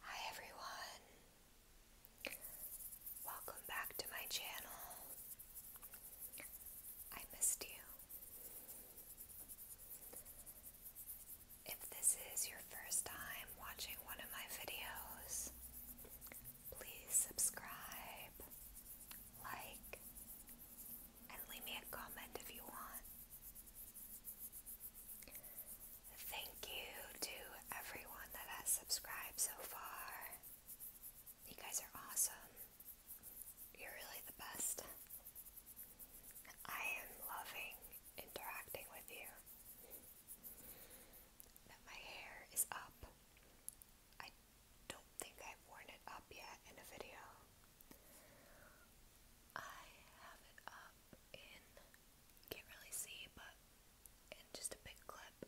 Hi everyone. Welcome back to my channel. I missed you. If this is your first time watching one of my videos, please subscribe, like, and leave me a comment if you want. Thank you to everyone that has subscribed so far. You guys are awesome. You're really the best. I am loving interacting with you. my hair is up. I don't think I've worn it up yet in a video. I have it up can't really see, but in just a big clip.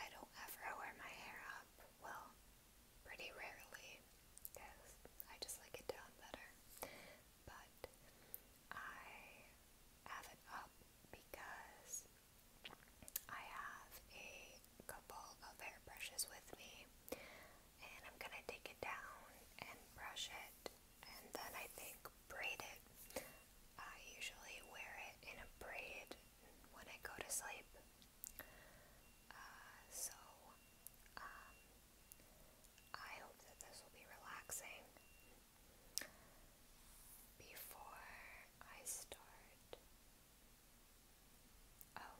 I don't ever wear my hair up, well, pretty rarely, because I just like it down better. But I have it up because I have a couple of hairbrushes with me and I'm gonna take it down and brush it and then I think braid it. I usually wear it in a braid when I go to sleep. Uh, so um, I hope that this will be relaxing. Before I start, oh,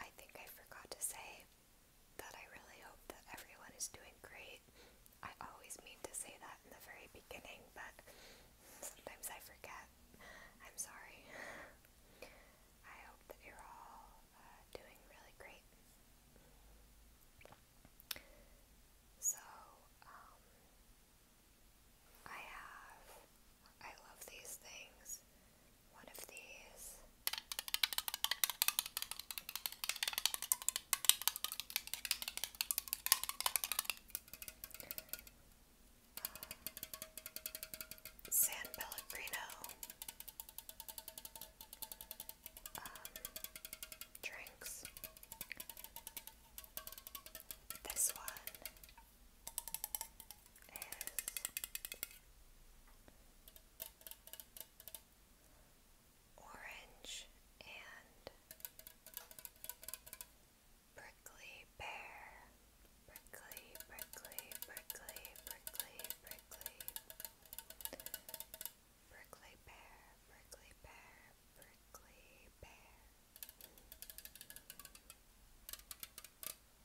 I think I forgot to say that I really hope that everyone is doing great. I always mean to say that in the very beginning, but sometimes I forget. I'm sorry. I hope that you're all uh, doing really great. So, um, I have, I love these things one of these. San Pellegrino um, drinks. This one is Orange and Prickly Bear. Prickly, prickly, prickly, prickly, prickly. Prickly Bear, prickly Bear, prickly Bear.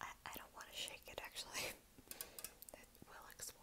I, I don't want to shake it actually. it will explode.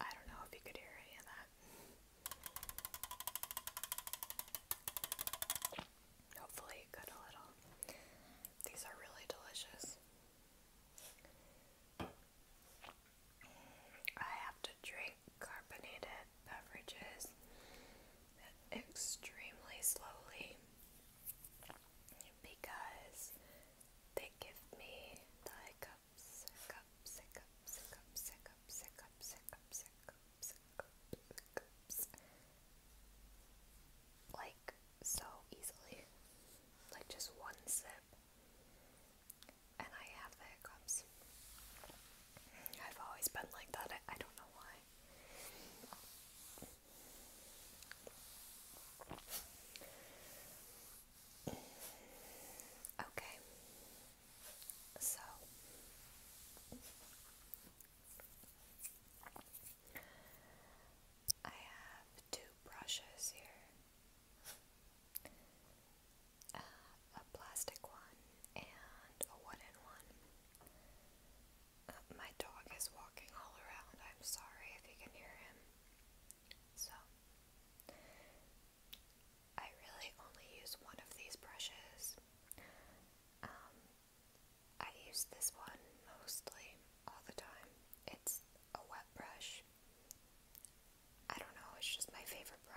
I don't know if you could hear any of that. Hopefully, it a little. These are really delicious. I have to drink carbonated beverages extremely slowly because they give me the cups, cups, cups, cups, cups, cups, cups, cups, cups, like so easily, like just one sip, and I have the hiccups. I've always been like that. I, I don't know why. Okay, so I have two brushes here. Uh, a plastic one and a wooden one. Uh, my dog is walking all around. I'm sorry if you can hear him. So, I really only use one of these brushes. Um, I use this one mostly all the time. It's a wet brush. I don't know, it's just my favorite brush.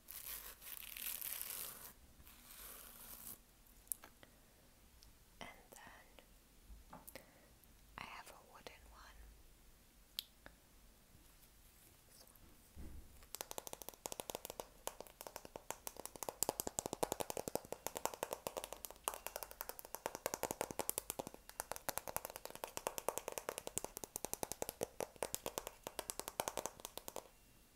And then I have a wooden one.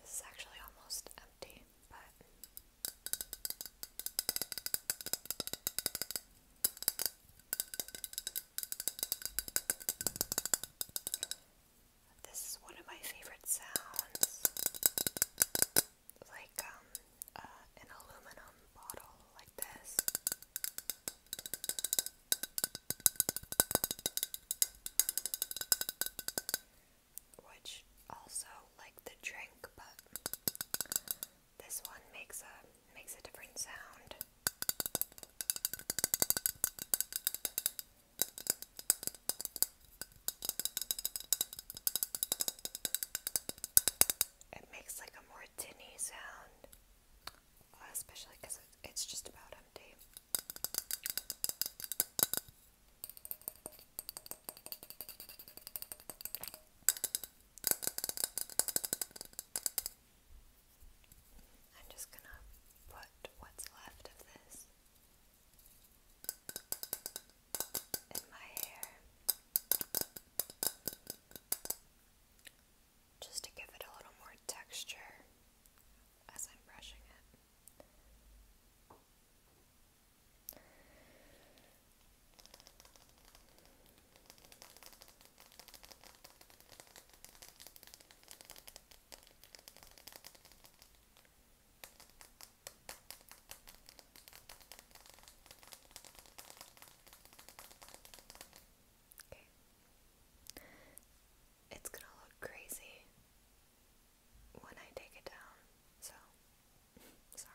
this is actually almost empty, but. This is one of my favorite sounds. Like um uh, an aluminum bottle like this. Which also like the drink, but this one makes a makes a different sound. It makes like a more tinny sound especially because it's just about empty. I'm just going to put what's left of this in my hair just to give it a little more texture as I'm brushing it. Okay it's gonna look crazy when I take it down, so sorry.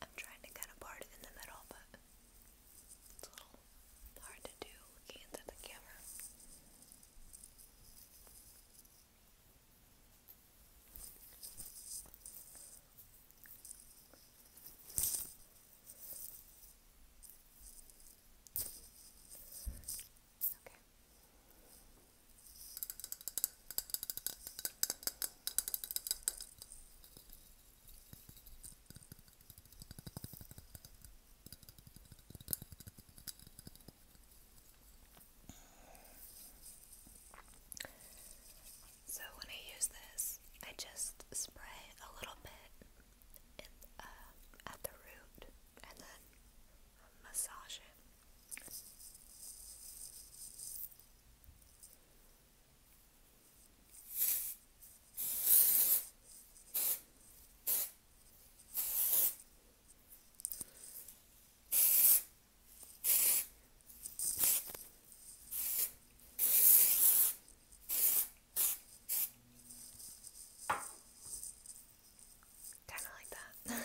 I'm trying to kind of part it in the middle, but it's a little hard to do looking into the camera. So when I use this, I just spray a little bit in, uh, at the root and then massage it. Kind of like that.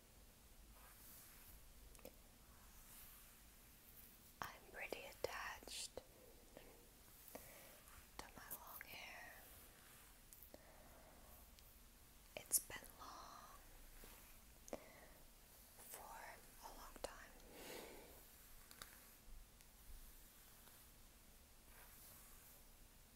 I'm pretty attached to my long hair. It's been long for a long time. It is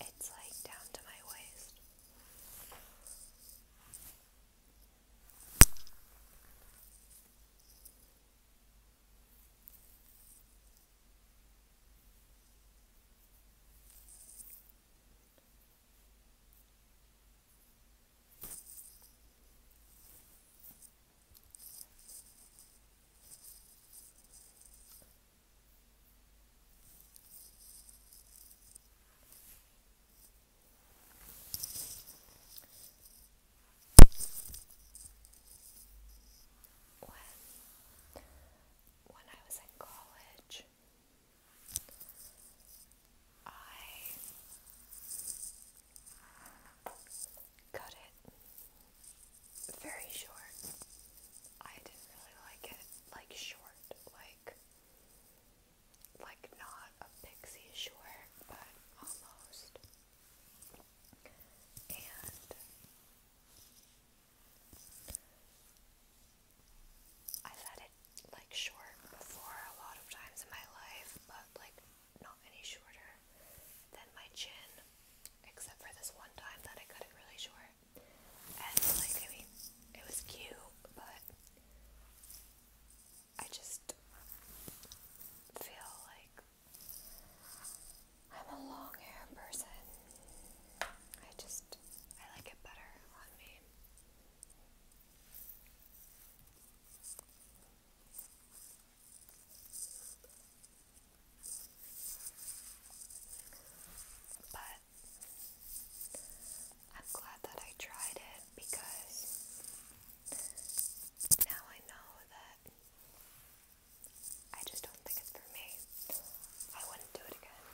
it's like down to my waist. When, when I was in college, I Cut it very short. I didn't really like it. Like short, like like not a pixie short, but almost. And I've had it like short before a lot of times in my life, but like not any shorter than my chin, except for this one time that I cut it really short. And, like, I mean, it was cute, but I just feel like I'm a long hair person. I just, I like it better on me. But I'm glad that I tried it because now I know that I just don't think it's for me. I wouldn't do it again.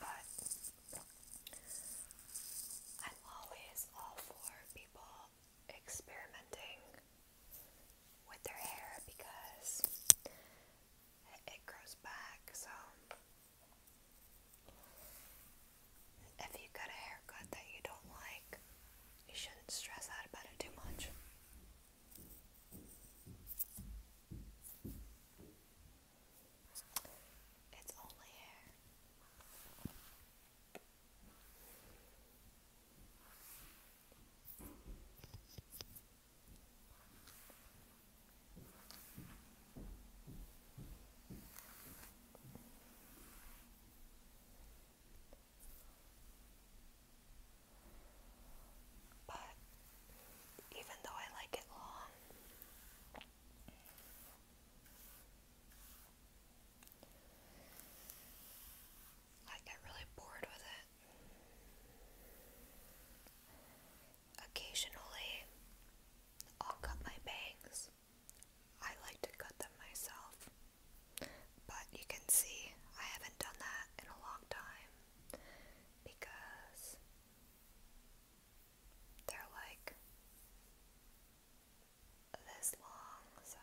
But I'm always all for people experimenting with their hair because it grows back. So, if you got a haircut that you don't like, you shouldn't stress out about it too much. It's only hair. But even though I like it long, I get really bored with it. Occasionally, I'll cut my bangs. I like to cut them myself, but you can see I haven't done that in a long time because they're like this long, so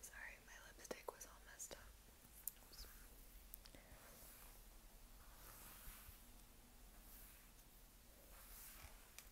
Sorry, my lipstick was all messed up.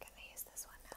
Can I use this one now?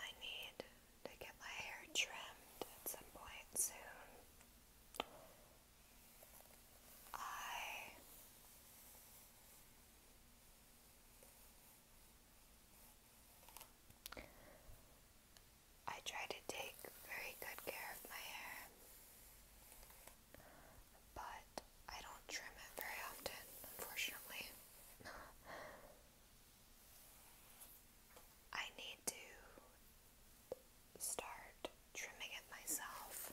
I need to get my hair trimmed at some point soon. I I try to take very good care of my hair, but I don't trim it very often, unfortunately. I need to start trimming it myself.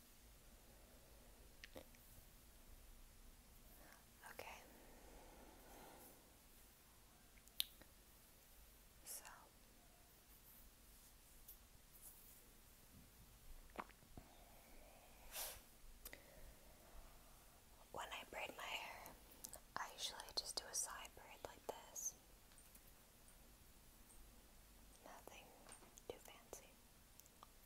Okay. So when I braid my hair, I usually just do a side braid like this. Nothing too fancy.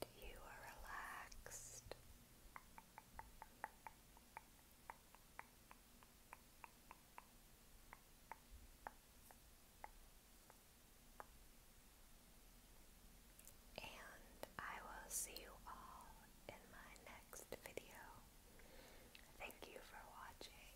that you are relaxed. And I will see you all in my next video. Thank you for watching.